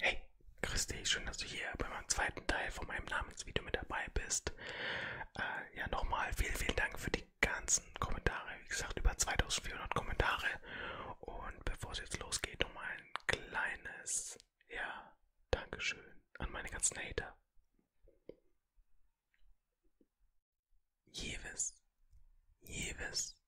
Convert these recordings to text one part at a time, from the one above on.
Hey, grüß dich, schön, dass du hier bei meinem zweiten Teil von meinem Namensvideo mit dabei bist. Äh, ja, nochmal vielen, vielen Dank für die ganzen Kommentare. Wie gesagt, über 2400 Kommentare. Und bevor es jetzt losgeht, nochmal ein kleines, ja, Dankeschön an meine ganzen Hater. Jeves, Jeves,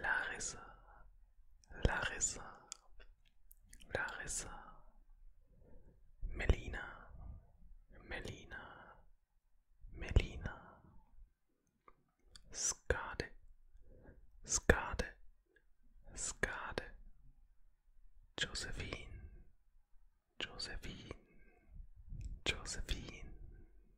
Larissa, Larissa, Larissa, Melina, Melina, Melina, Skade, Skade, Skade, Josephine, Josephine, Josephine,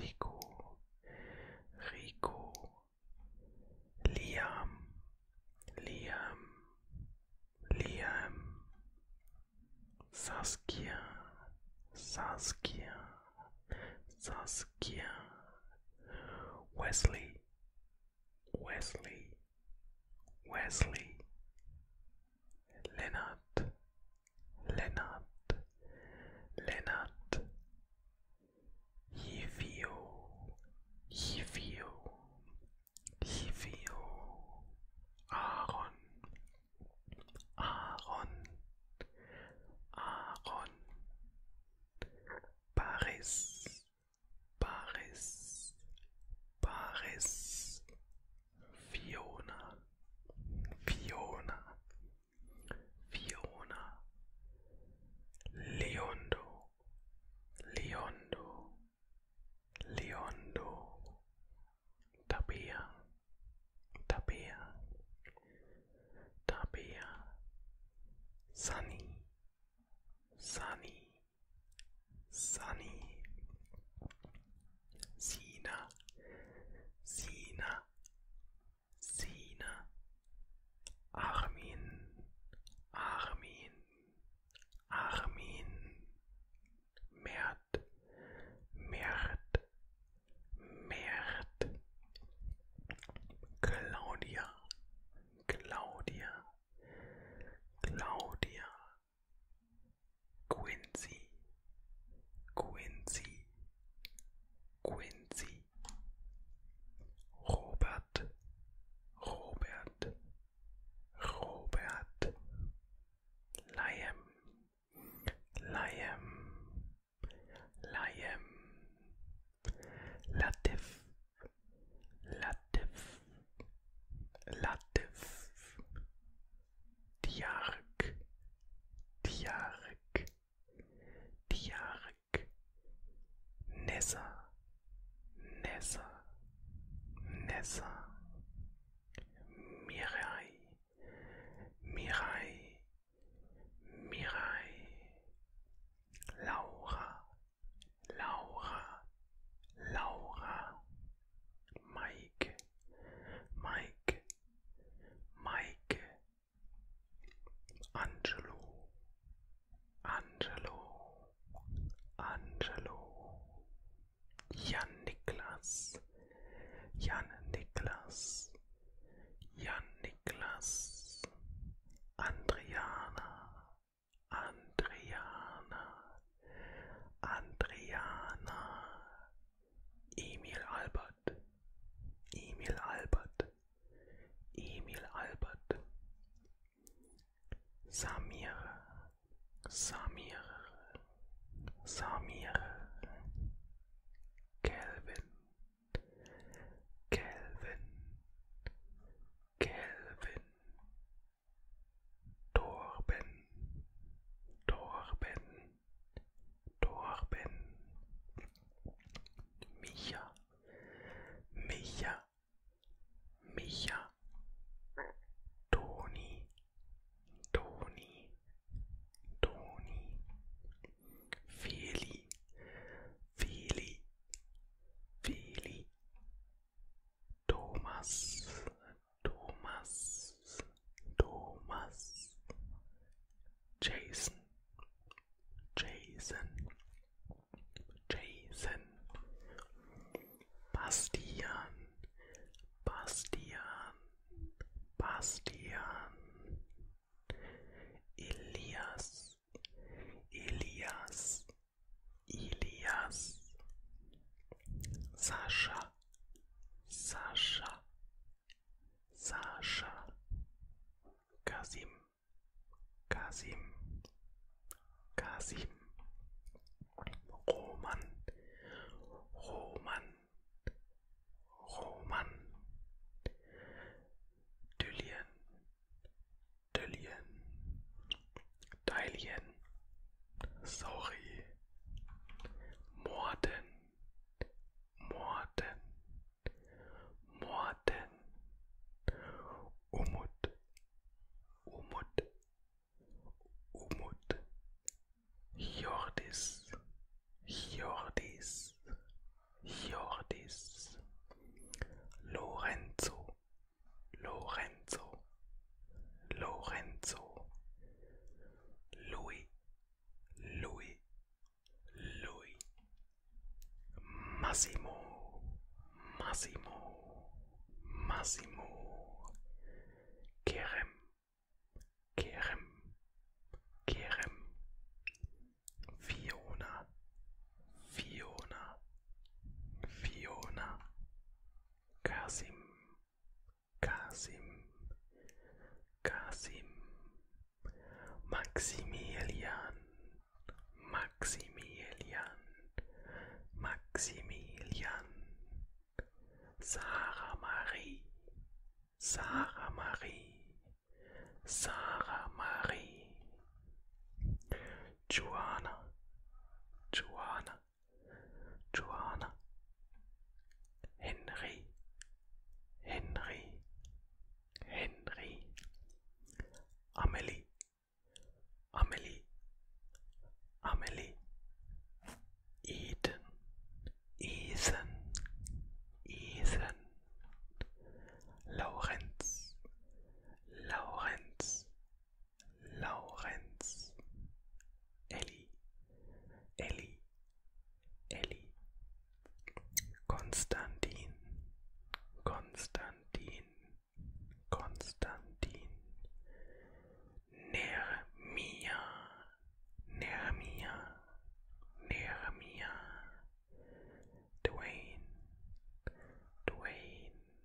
Rico, Rico, Liam, Liam, Liam, Saskia, Saskia, Saskia, Wesley, Wesley, Wesley, Leonard, Lennart, Lennart, Yivio, Yivio, Yivio, Aaron, Aaron, Aaron, Paris, Paris, Paris, Fiona, Fiona, Fiona, Leondo, Leondo, Leondo, Tapia, Tapia, Tapia, Sunny, Sunny, Sunny, Sina, Sina, Sina, Armin, Armin, Armin, Mert, Mert, Mert, Claudia, Claudia, Claudia, Quincy, Quincy, Quincy, Robert, Robert, Robert, Liam, Liam, Liam, Latif, Latif, Latif, Diyark, Diyark, Diyark, Nessa, Nessa, Nessa, Mirai, Mirai, Mirai, Laura, Laura, Laura, Mike, Mike, Maike, Angelo, Angelo, Angelo, Jan Niklas, Jan Niklas, Jan Niklas, Andriana, Andriana, Andriana, Emil Albert, Emil Albert, Emil Albert, Samir, Samir, Samir, Kelvin, Kelvin, Kelvin, Torben, Torben. Torben, Micha, Micha, Micha, Toni, Toni, Toni, Feli, Feli, Feli, Thomas, Thomas, Thomas, Jason, Jason, Jason, Bastian, Bastian, Bastian, Elias, Elias, Elias, Sascha. Sascha, Sascha, Kasim, Kasim, Kasim, Roman, Roman, Roman, Dülien, Dülien, Deilien, Sorry. Morden. Morden. Morden. Umut. Umut. Umut. Jordis. Jordis. Jordis. Lorenzo. Lorenzo. Lorenzo. Massimo Massimo Massimo Kerem Kerem Kerem Fiona Fiona Fiona Kasim Kasim, Kasim, Maximilian, Maximilian, Maximilian, Sarah Marie, Sarah Marie, Sarah Marie, Joanna, Joanna, Johanna, Henry, Henry, Henry, Amelie, Amelie, Amelie, Eden, Ethan, Ethan, Lawrence, Lawrence, Lawrence, Eli, Eli, Eli, Konstantin, Konstantin, Konstantin, Nermia, Nermia, Nermia, Dwayne, Dwayne,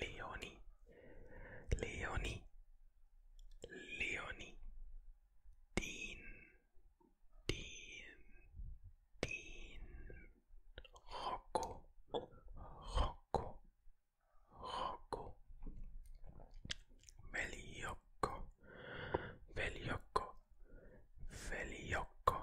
Leonie, Leonie, Leonie, Dean, Dean, Dean, Rocco, Rocco, Rocco, Veliocco, Veliocco, Veliocco,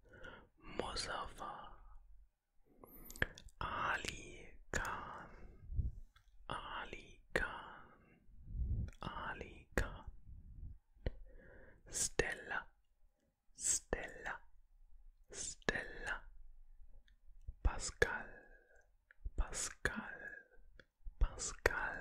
Muzaffar Ali Khan Ali Khan Ali Khan Stella Stella Stella Pascal Pascal Pascal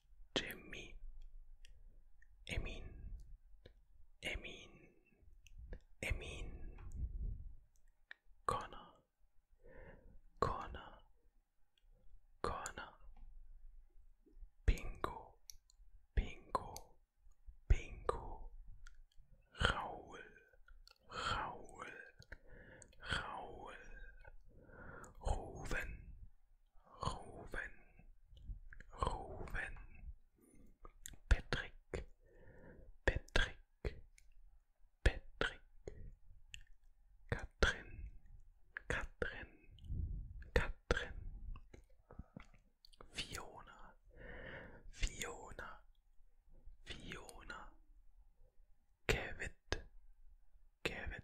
Jimmy, Emin, Emin, Emin, Connor, Connor, Connor, Bingo, Bingo, Bingo, Raul, Raul, Raul, Ruven, Ruven, Ruven, Patrick, Patrick, Patrick, Katrin, Katrin, Katrin, Fiona, Fiona, Fiona. Kevin, Kevin,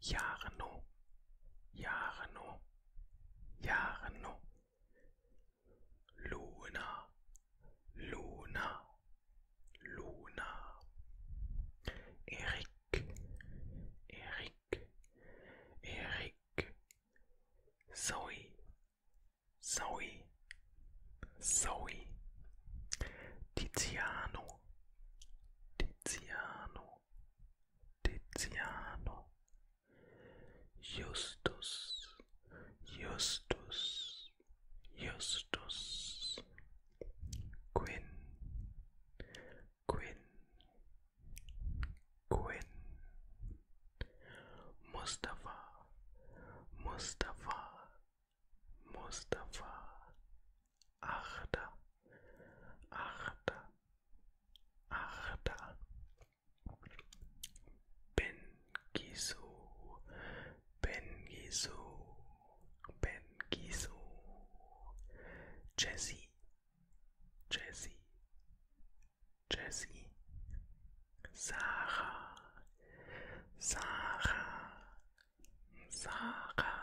Jahre no. Jahre Luna. Luna. Luna. Erik. Erik. Erik. Zoe. Zoe. Zoe. Tiziano. Tiziano. Tiziano, Justus, Justus, Justus, Quinn, Quinn, Quinn, Mustafa, Mustafa, Mustafa, Achta, achta, achta. Bengisu, Bengisu, Bengisu. Jesse, Jesse, Jesse. Sarah, Sarah, Sarah.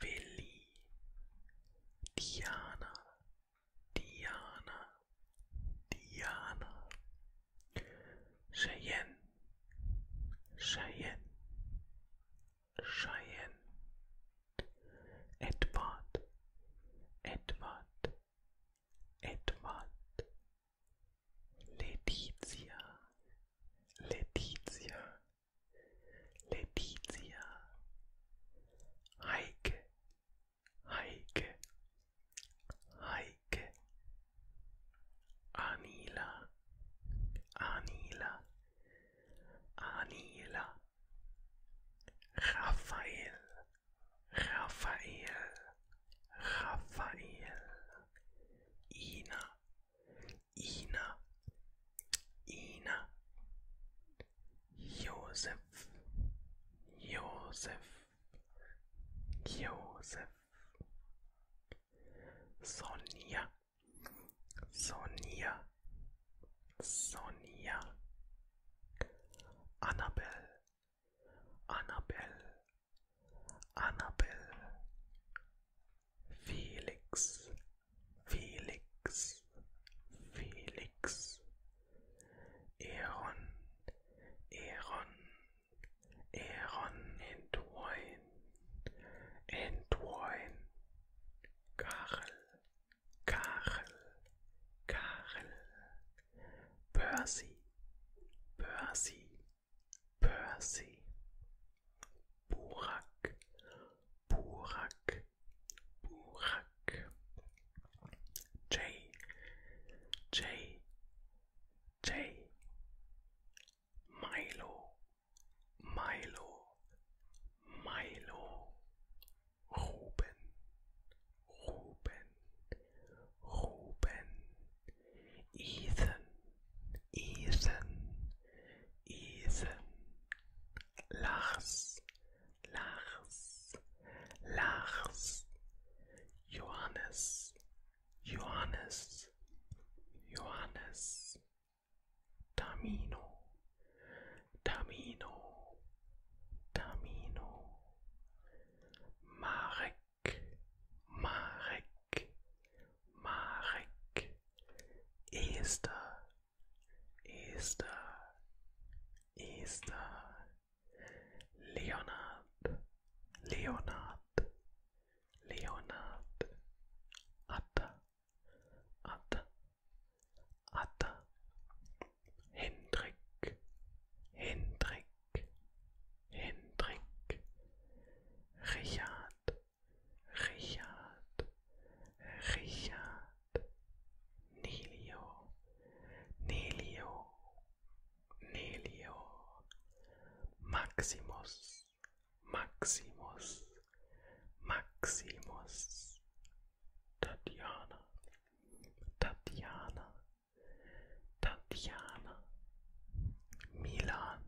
Willi, Diana, Diana, Diana, Cheyenne, Cheyenne, Cheyenne, Edward, Edward, Edward, Letizia, Letizia, Letizia, Heike, Heike, Heike, Anila, Anila, Anila, Raphael, Raphael, Raphael, Ina, Ina, Ina, Josef, Josef, Josef, Sonja, Sonja, Sonja, Annabelle, Annabelle, Annabelle, Felix, Felix, Felix, Aaron, Aaron, Aaron, Entwine, Entwine, Karel, Karel, Karel, Percy, Percy, Percy, Burak, Burak, Burak, Jay, Jay, Jay, Milo, Milo, Milo, Ruben, Ruben, Ruben, Ethan, Ethan, Ethan, Lars, Lars, Lars, Johannes, Johannes, Johannes, Tamino, Tamino, Tamino, Marek, Marek, Marek, Esther, Esther, Esther, Leonard, Leonard, Leonard, Atta, Atta, Atta, Hendrik, Hendrik, Hendrik, Richard, Richard, Richard, Nelio, Nelio, Nelio, Maximus, Maximus, Maximus, Tatiana, Tatiana, Tatiana, Milan,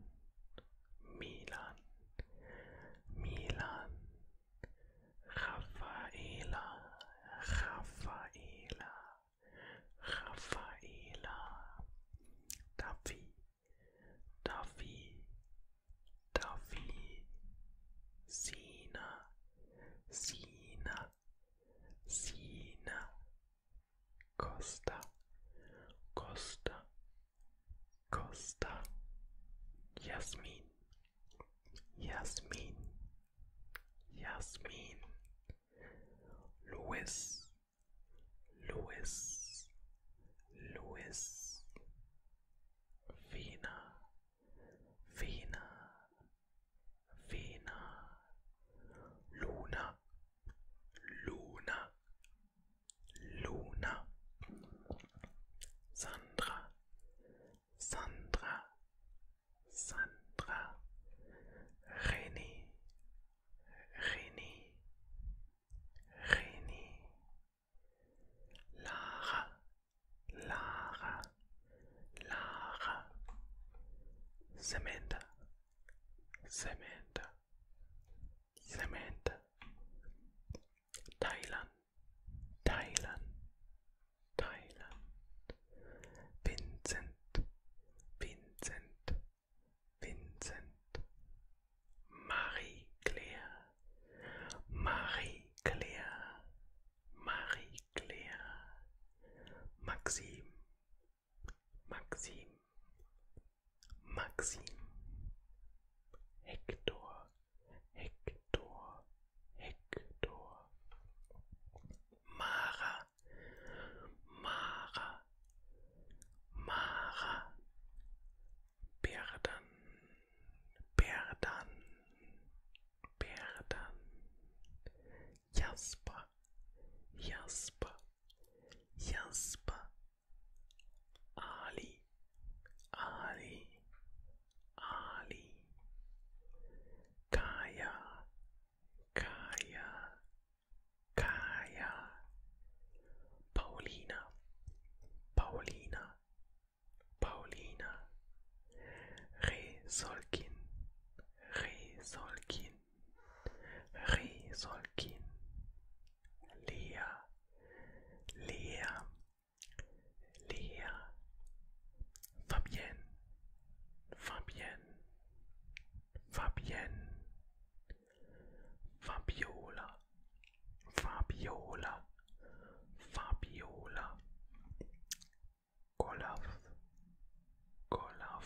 Milan, Milan, Rafaela, Rafaela, Rafaela, Davi, Davi, Davi, Sina, Sina, Sina, Costa, Costa, Costa, Jasmine, Jasmine, Jasmine. Luis, Luis, Luis, Vina, Vina, Vina, Luna. Luna, Luna, Sandra, Sandra, Sandra, René, René, René, Lara, Lara, Lara, Samantha, Samantha, Samantha, Thailand Thailand Thailand Vincent Vincent Vincent Marie Claire Marie Claire Marie Claire Maxime Maxim, Maxim, Hector, Hector, Hector, Mara, Mara, Mara, Berdan, Berdan, Berdan, Jasper, Jasper, Jasper, Ali, Ali, Ali, Kaya, Kaya, Kaya, Paulina, Paulina, Paulina, Resolkin, Resolkin. Risolkin, Lea, Lea, Lea, Fabienne, Fabienne, Fabienne, Fabiola, Fabiola, Fabiola, Olaf, Olaf,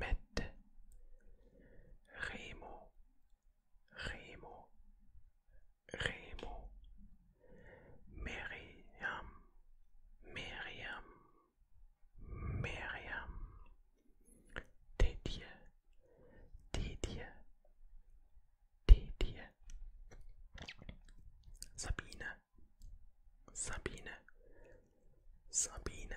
Met. Remo. Remo. Remo. Miriam. Miriam. Miriam. Didier. Didier. Didier. Sabine. Sabine. Sabine.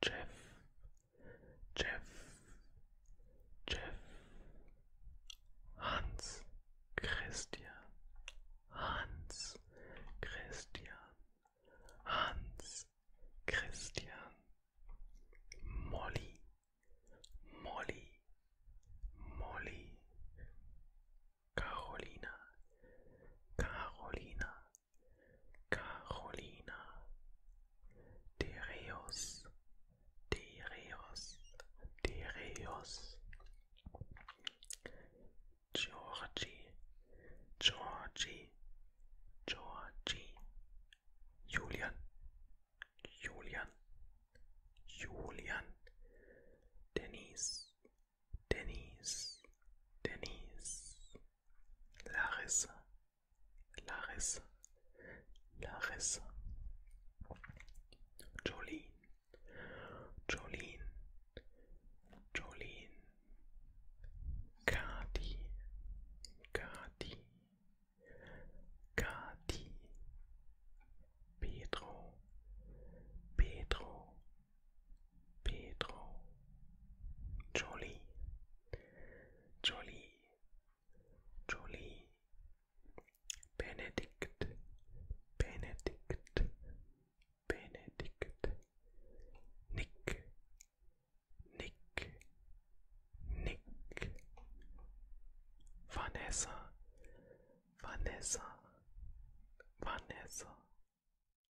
Jeff, Jeff, Jeff, Hans Christian, Hans Christian, Hans Christian, Molly, Molly, Molly, Carolina, Carolina, Carolina de Reos, de Reos, de Reos, Georgie, Georgie, Georgie, Julian, Julian, Julian, Denise, Denise, Denise, Larissa, Larissa, Larissa, Jolene, Jolene, Jolene, Kati, Kati, Kati, Pedro, Pedro. Pedro, Jolie, Jolie, Jolie, Benedict, Benedict, Benedict, Nick, Nick, Nick, Vanessa, Vanessa, Vanessa.